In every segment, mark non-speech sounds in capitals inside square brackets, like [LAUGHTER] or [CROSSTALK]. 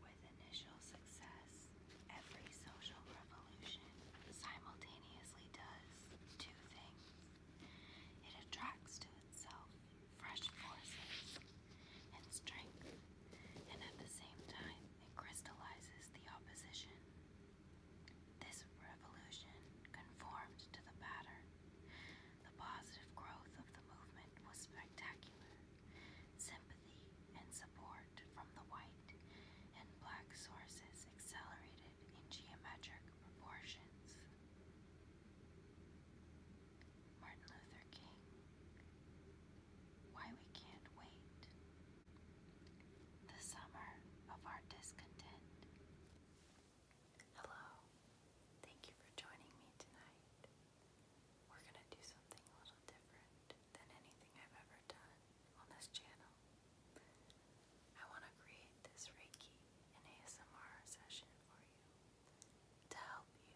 With initial success, every social revolution simultaneously does two things. It attracts to itself fresh forces and strength, and at the same time, it crystallizes the opposition. This revolution conformed to the pattern. The positive growth of the movement was spectacular. Sympathy and support from the white and black sources accelerated in geometric proportions. Martin Luther King Why We Can't Wait. The Summer of Our Discontent. Hello. Thank you for joining me tonight. We're gonna do something a little different than anything I've ever done on this channel. I wanna create this Reiki and ASMR session for you to help you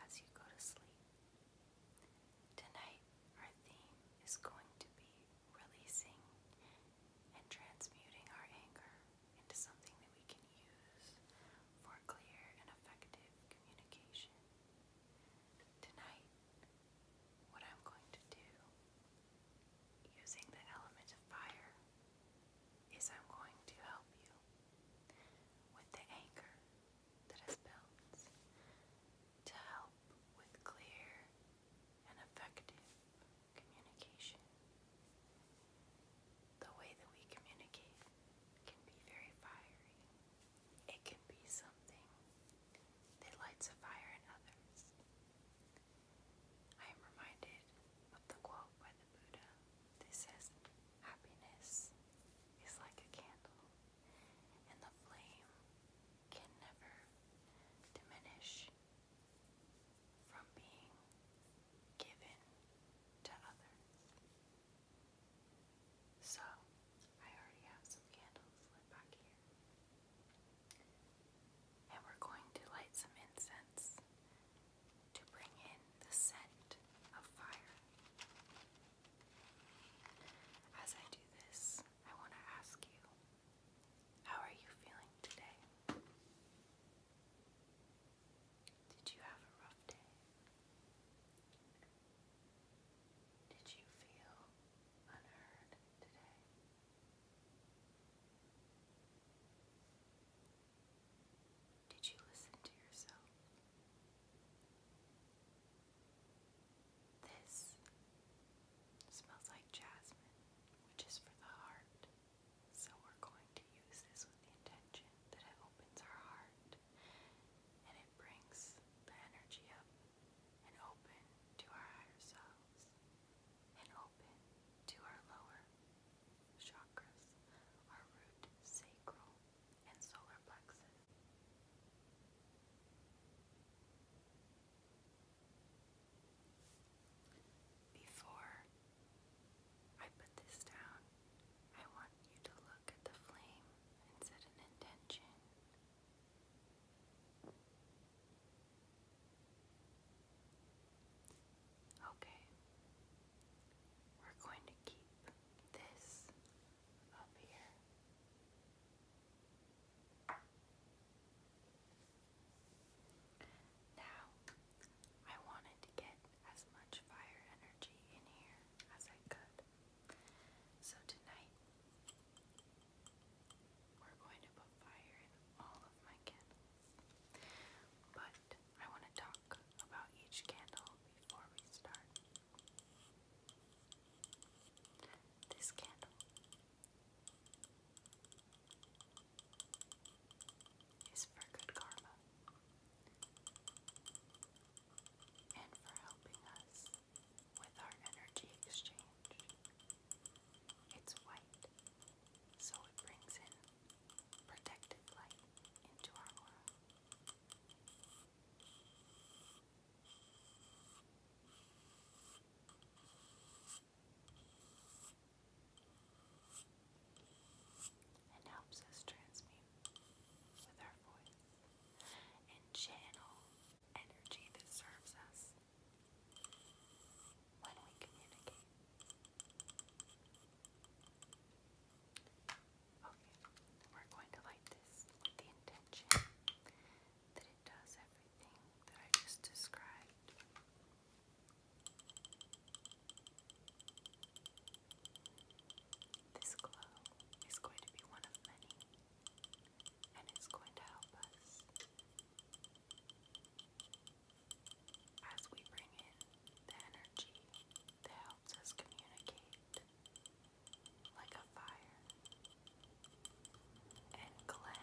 as you go to sleep. Tonight, our theme is going to be releasing and transmuting our anger into something that we can use for clear and effective communication. Tonight, what I'm going to do using the element of fire is I'm going to help you with the anchor that is built to help with clear and effective communication. The way that we communicate can be very fiery. It can be something that lights a fire in others. I am reminded of the quote by the Buddha that says, Happiness is like a candle, and the flame can never diminish from being given to others. So, I already have some candles lit back here. And we're going to light some incense to bring in the scent of fire. As I do this, I want to ask you, how are you feeling today? Did you have a rough day? Did you feel unheard today? Did you listen to yourself? This smells like jasmine, which is for the heart. So we're going to use this with the intention that it opens our heart and it brings the energy up and open to our higher selves and open to our lower chakras, our root, sacral, and solar plexus. Before I put this down, I want you to look at the flame and set an intention. Okay, we're going to keep this up here. Now, I wanted to get as much fire energy in here as I could. So tonight, we're going to put fire in all of my candles. But I want to talk about each candle before we start. This candle is for good karma and for helping us with our energy exchange. It's white, so it brings in protected light into our aura and helps us transmute with our voice and channel energy that serves us when we communicate. Okay, we're going to light this with the intention that it does everything that I just described. This glow is going to be one of many, and it's going to help us as we bring in the energy that helps us communicate like a fire and cleanse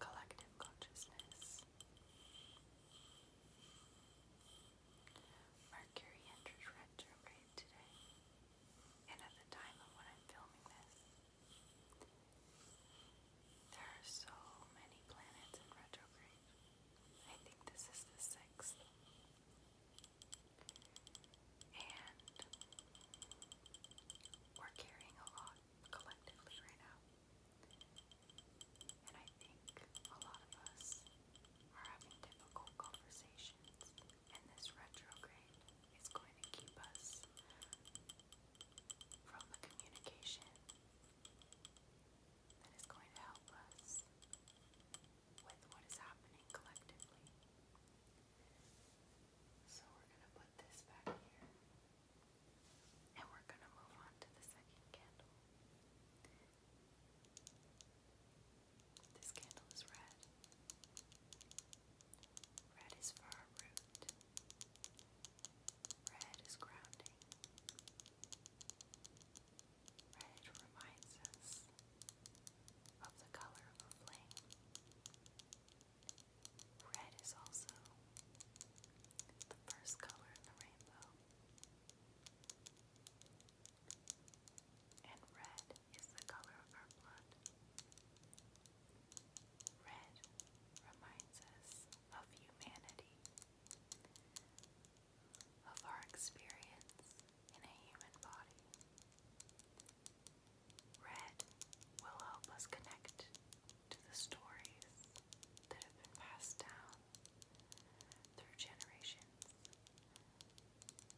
collective consciousness. Mercury enters retrograde today, and at the time of when I'm filming this, there are so many planets in retrograde. I think this is the sixth. And we're carrying a lot collectively right now. I think a lot of us are having difficult conversations, and this retrograde is going to keep us from the communication that is going to help us with what is happening collectively. So we're going to put this back here. And we're going to move on to the second candle. This candle is red. Red is for our root. Red is grounding. Red reminds us of the color of a flame. Red is also the first color in the rainbow. And red is the color of our blood. Red reminds us of humanity, of our experience in a human body. Red will help us connect to the stories that have been passed down through generations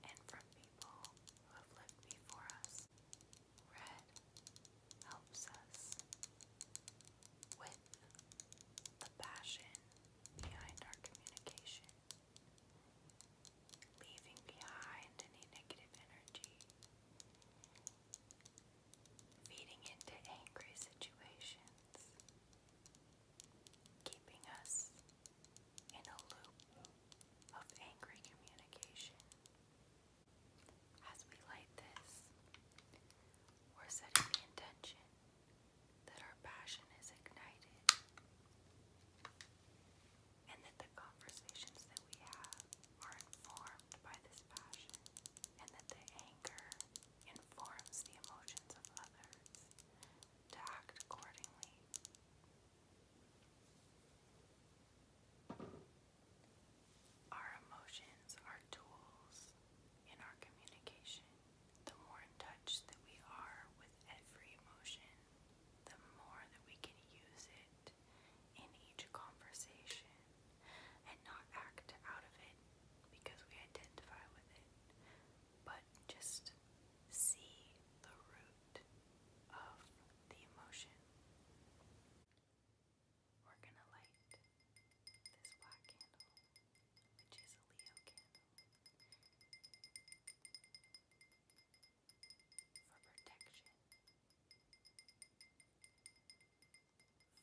and from people who have lived before us. Red helps us with the passion behind our communication, leaving behind any negative energy, feeding into angry situations keeping us in a loop of angry communication. As we light this, we're setting the intention that our passion is ignited and that the conversations that we have are informed by this passion and that the anger informs the emotions of others to act accordingly. Our emotions are tools in our communication. The more in touch that we are with every emotion, the more that we can use it in each conversation and not act out of it because we identify with it but just see the root of the emotion. We're going to light this black candle, which is a Leo candle, for protection.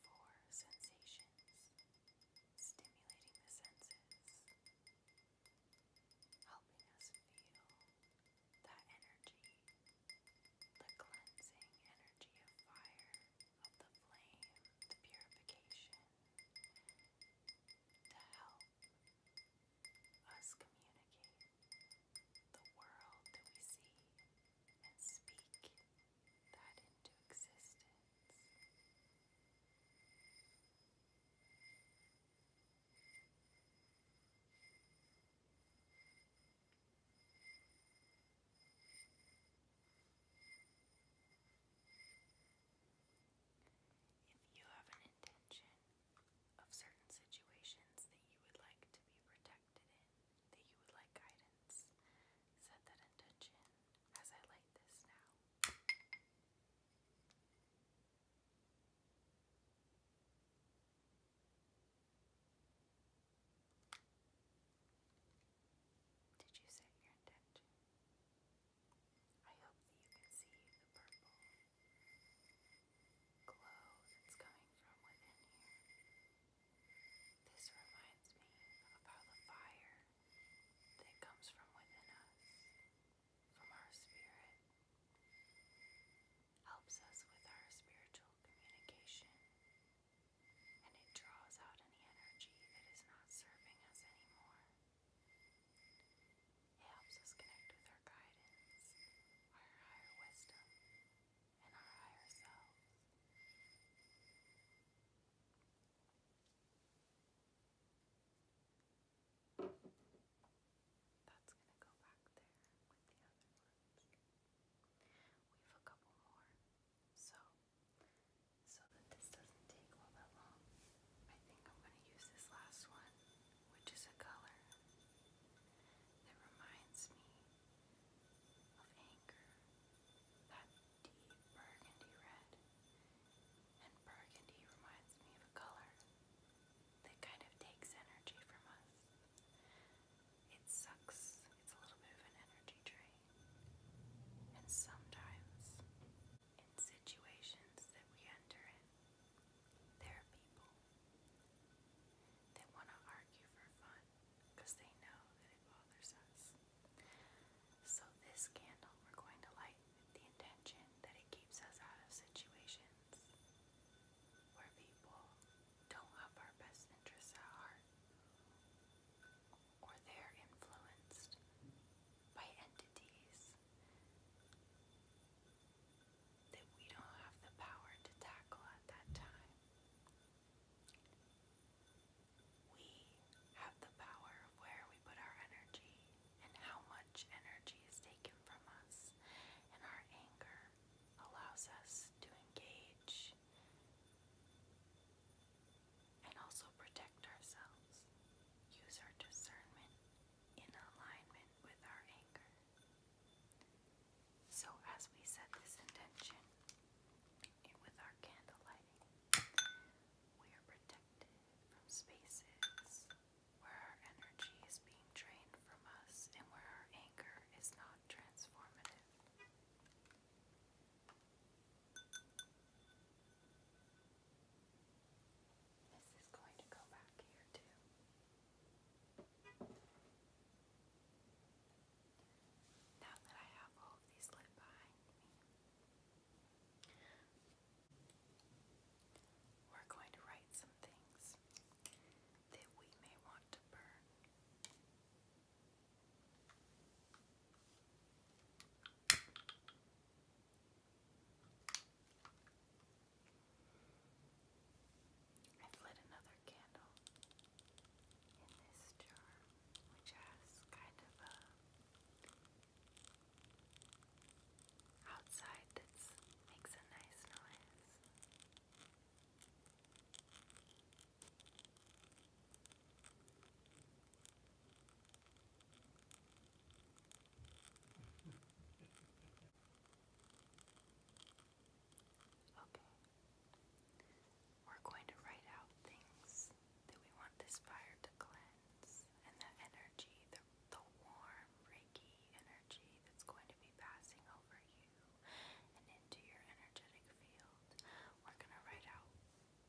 Four sensations, stimulating the senses, helping us feel that energy, the cleansing energy of fire, of the flame, the purification, to help us communicate the world that we see and speak that into existence. If you have an intention of certain situations that you would like to be protected in, that you would like guidance, set that intention as I light this now. Did you set your intention? I hope that you can see the purple glow that's coming from within here. This reminds me of how the fire that comes from within us, from our spirit, helps us with our spiritual communication and it draws out any energy that is not serving us anymore. It helps us connect with our guidance, our higher wisdom, and our higher selves. That's going to go back there with the other ones. We have a couple more, so so that this doesn't take all that long, I think I'm going to use this last one, which is a color that reminds me of anger deep burgundy red. And burgundy reminds me of a color that kind of takes energy from us. It sucks, it's a little bit of an energy drain. And sometimes, in situations that we enter in, there are people that want to argue for fun because they know that it bothers us. So, this candle we're going to light the intention that it keeps us out of situations where people don't have our best interests at heart or they're influenced by entities that we don't have the power to tackle at that time. We have the power of where we put our energy and how much energy is taken from us, and our anger allows us to engage and also protect ourselves. Use our discernment in alignment with our anger. So, as we set this intention with our candlelight, we are protected from spaces where our energy is being drained from us and where our anger is not transformative. This is going to go back here too. Now that I have all of these lit behind me, we're going to write some things that we may want to burn. I've another candle in this jar, which has kind of a outside that makes a nice noise. [LAUGHS] Okay, we're going to write out things that we want this fire to cleanse and the energy, the warm Reiki energy that's going to be passing over you and into your energetic field. We're going to write out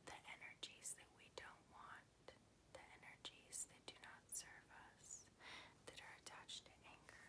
the energies that we don't want, the energies that do not serve us, that are attached to anger.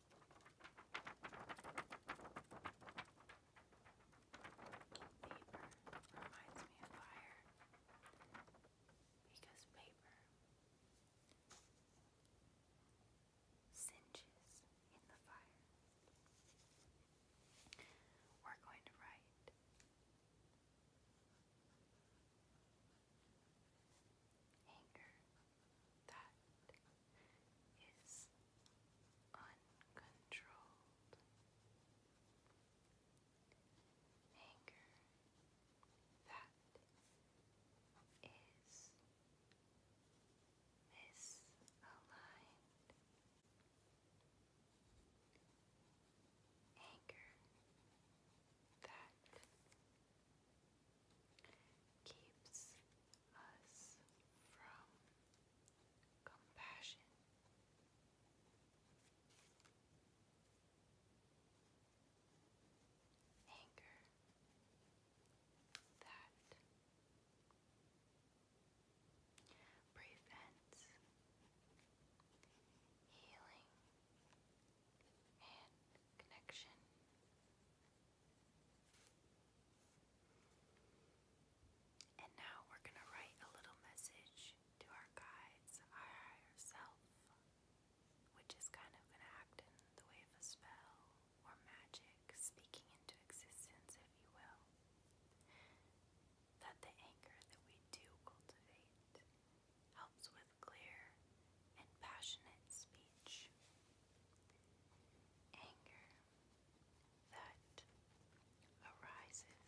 Paper reminds me of fire because paper singes in the fire. We're going to write anger that is uncontrolled. Anger that is misaligned. Anger that keeps us from compassion. Anger that prevents healing and connection. And now we're going to write a little message to our guides, our higher self, which is kind of going to act in the way of a spell or magic, speaking into existence, if you will, that the anger that we do cultivate helps with clear passionate speech. Anger that arises.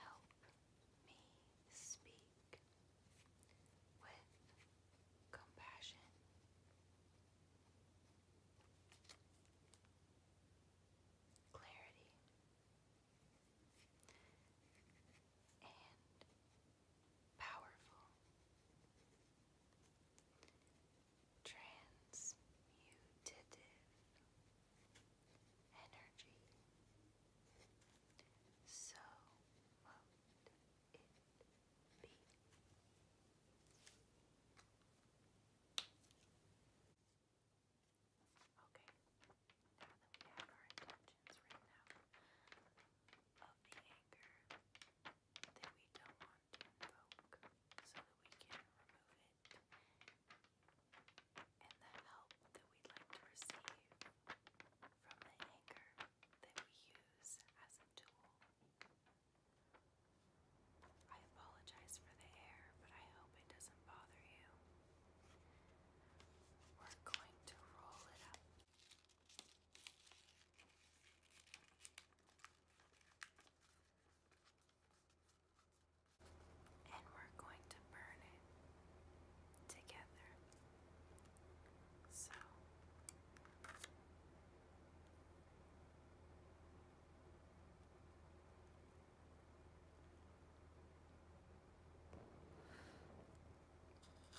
Help me speak with compassion. Clarity and powerful transmutative energy. So will it be? Okay, now that we have our intentions written out of the anger that we don't want onto so that we can remove it and the help that we'd like to receive from the anchor that we use as a tool. I apologize for the air, but I hope it doesn't bother you. We're going to roll it up. And we're going to burn it together. So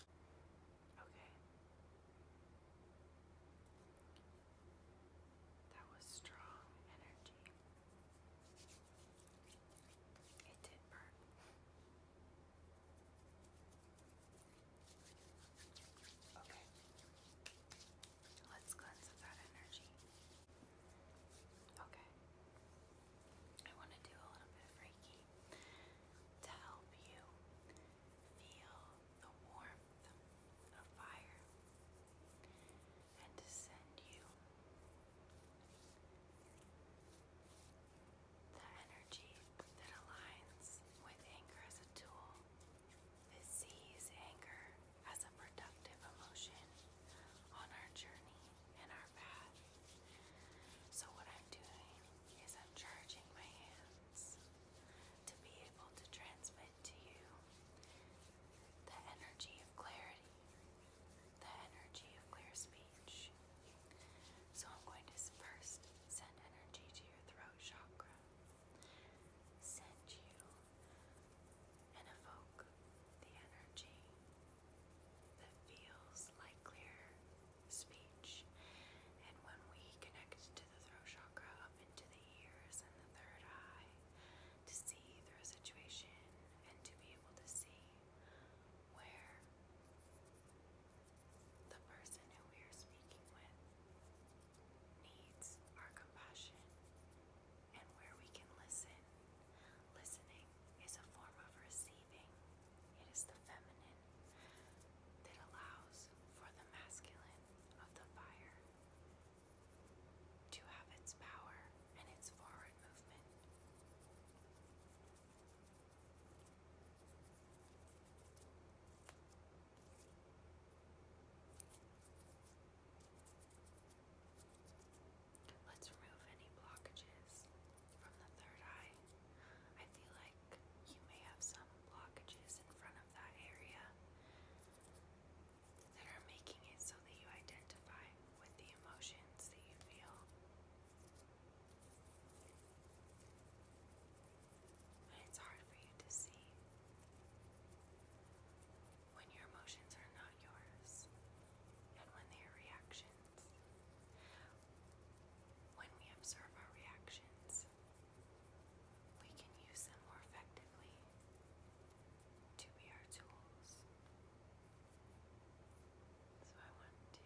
Okay. That was strong energy. It did burn. Okay. Let's cleanse that energy. Okay. I want to do a little bit of to help you Feel the warmth of fire and to send you the energy that aligns with anger as a tool, that sees anger as a productive emotion on our journey and our path. So, what I'm doing is I'm charging my hands to be able to transmit to you the energy of clarity, the energy of clear speech. So I'm going to first send energy to your throat chakra, send you and evoke the energy that feels like clear speech. And when we connect to the throat chakra up into the ears and the third eye to see through a situation and to be able to see where the person who we are speaking with needs our compassion and where we can listen. Listening is a form of receiving, it is the feminine that allows for the masculine of the fire to have its power and its forward movement. Let's remove any blockages from the third eye. I feel like you may have some blockages in front of that area that are making it so that you identify with the emotions that you feel. it's hard for you to see when your emotions are not yours and when they are reactions. When we observe our reactions, we can use them more effectively to be our tools. So I want to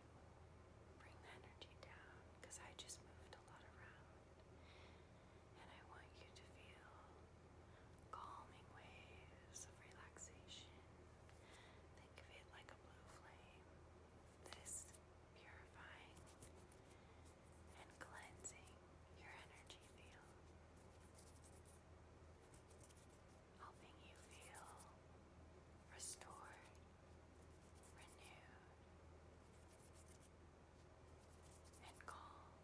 bring the energy down because I just moved a lot around. And I want you to feel calming waves of relaxation. Think of it like a blue flame. This purifying, and cleansing your energy field, helping you feel restored, renewed, and calm.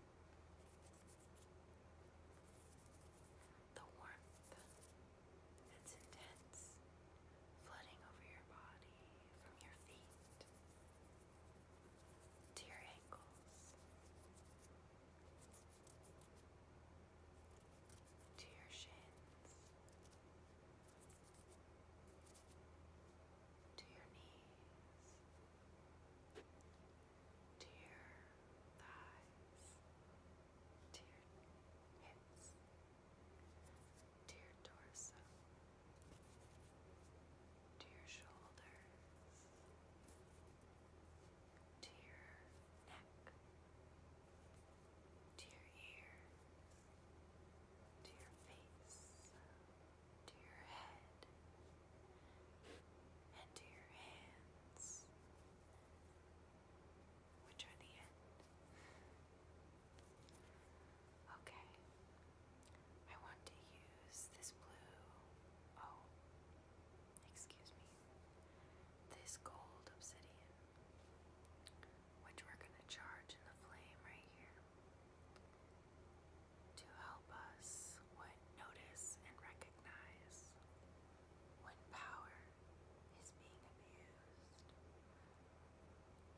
The warmth that's intense flooding over your body from your feet to your ankles to your shins to your knees to your thighs to your hips to your torso, to your shoulders, to your neck, to your ears, to your face, to your head, and to your hands which are the end. Okay, I want to use this blue, oh, excuse me, this gold obsidian, which we're going to charge in the flame right here to help us what notice and recognize when power is being abused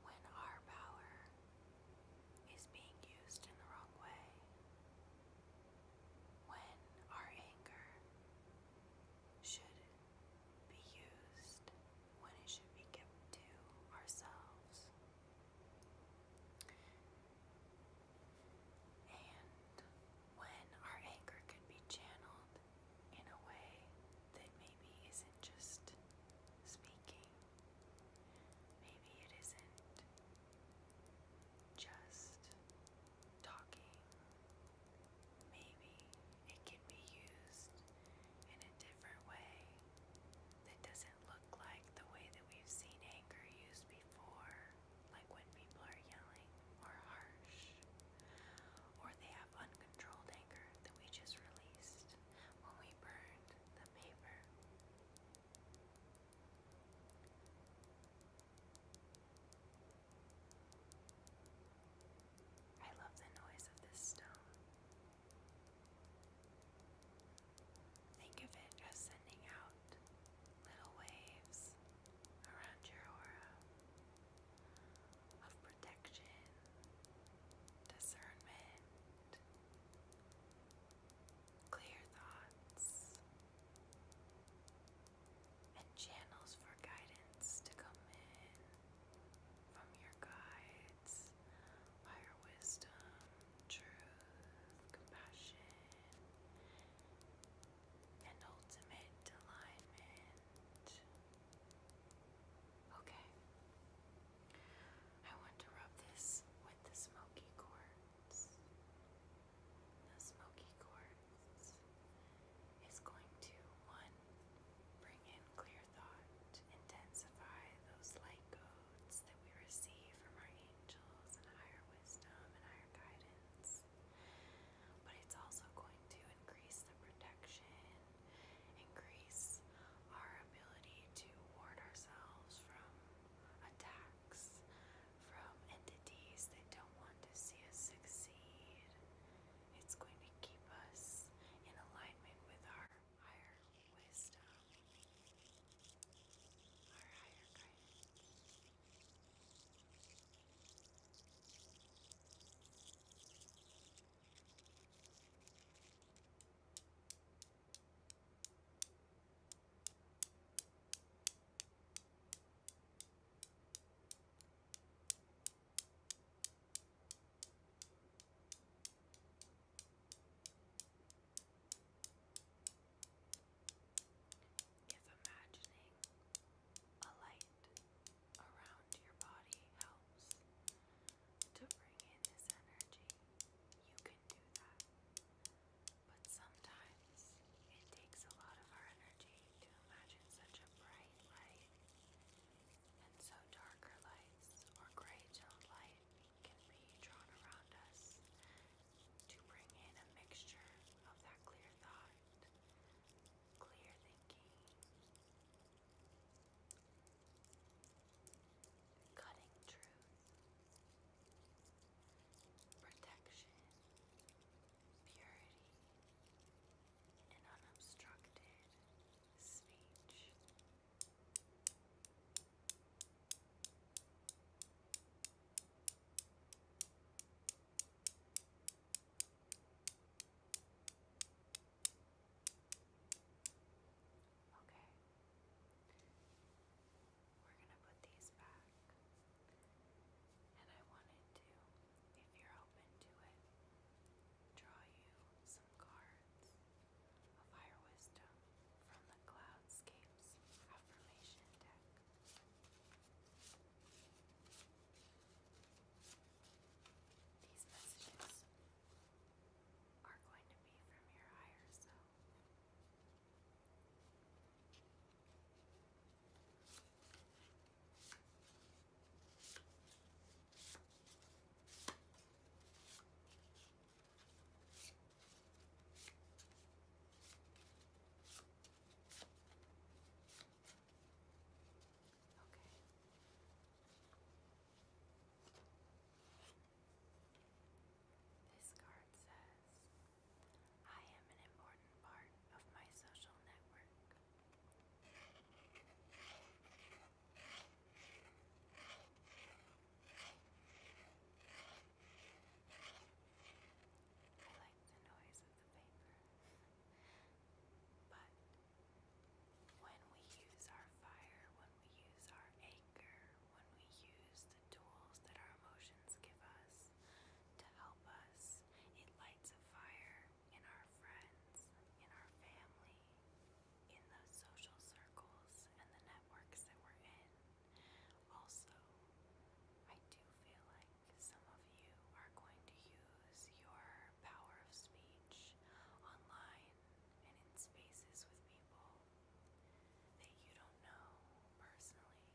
when our power is being used in the wrong way, when our anger should be used when it should be kept to ourselves. And when our anger can be channeled in a way that maybe isn't just speaking. Maybe it isn't just talking. Maybe it can be used in a different way that doesn't look like the way that we've seen anger used before, like when people are yelling or harsh or they have uncontrolled anger that we just released when we burned the paper. I love the noise of this stone. Think of it as sending out little waves around your aura, of protection, discernment, clear thoughts, and channels for guidance to come in from your guides, higher wisdom, truth, compassion, and ultimate alignment. Okay. I want to rub this with the smoky quartz. The smoky quartz is going to, one, bring in clear thought, intensify those light codes that we receive from our angels and higher wisdom and higher guidance. But it's also going to increase the protection increase our ability to ward ourselves from attacks, from entities that don't want to see us succeed. It's going to keep us in alignment with our higher wisdom, our higher guidance. Yes, imagining a light around your body helps to bring in this energy. You can do that. But sometimes it takes a lot of our energy to imagine such a bright light. And so darker lights or gray toned light can be drawn around us to bring in a mixture of that clear thought, clear thinking, Cutting truth, protection, purity, and unobstructed speech. Okay. We're going to put these back. And I wanted to, if you're open to it, draw you some cards of higher wisdom from the Cloudscapes Affirmation deck. These messages are going to be from your higher self. Okay. This card says, I am an important part of my social network. I like the noise of the paper, [LAUGHS] but when we use our fire, when we use our anger, when we use the tools that our emotions give us to help us, it lights a fire in our friends, in our family, in the social circles and the networks that we're in. Also, I do feel like some of you are going to use your power of speech online and in spaces with people that you don't know personally,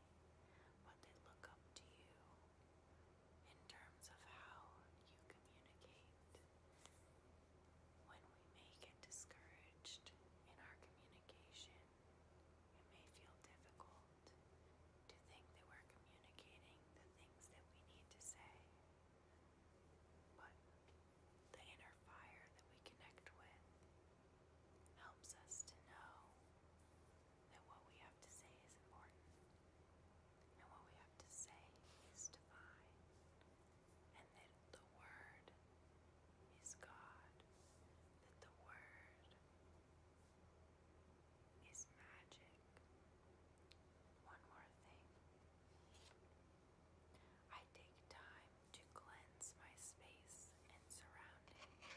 but they look up to you in terms of how you communicate. When we may get discouraged in our communication, it may feel difficult to think that we're communicating the things that we need to say. But the inner fire that we connect with helps us to know that what we have to say is important, and what we have to say is divine, and that the Word is God, that the Word is magic. One more thing. I take time to cleanse my space and surroundings.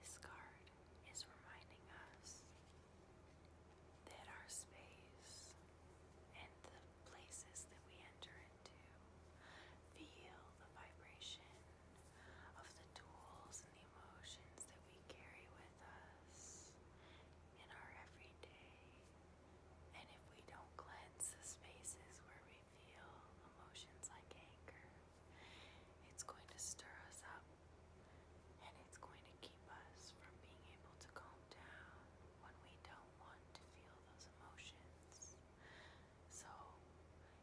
This card is reminding us that our space and the places that we enter into feel the vibration of the tools and the emotions that we carry with us in our everyday. And if we don't cleanse the spaces where we feel emotions like anger. It's going to stir us up and it's going to keep us from being able to calm down when we don't want to feel those emotions. So,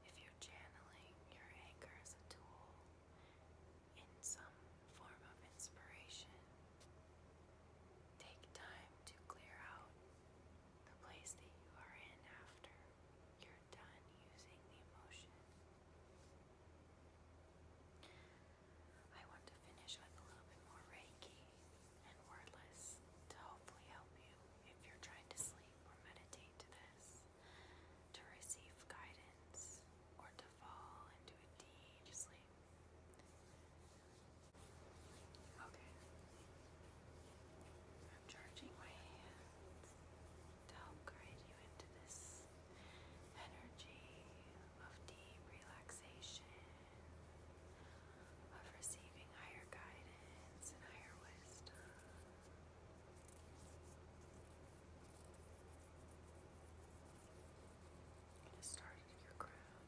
if you're channeling your anger as a tool in some form of inspiration, take time to clear out the place that you are in after you're done using the emotion. I want to finish with a little bit more Reiki and wordless to hopefully help you if you're trying to sleep or meditate this, to receive guidance or to fall into a deep sleep. Okay. I'm charging my hands to help guide you into this energy of deep relaxation, of receiving higher guidance and higher wisdom. I'm going to start at your crown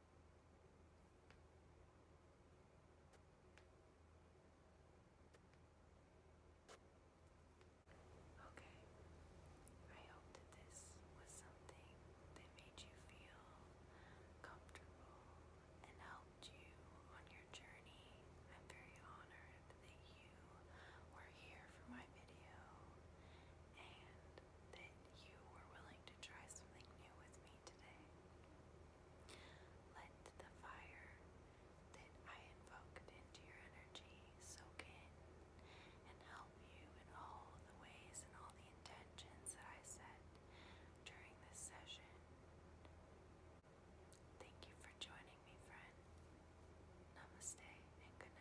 Okay, I hope that this was something that made you feel comfortable and helped you on your journey. I'm very honored that you were here for my video, and that you were willing to try something new with me today. Let the fire that I invoked into your energy soak in and help you in all the ways and all the intentions that I set during this session. Thank you for joining me, friend. Namaste and good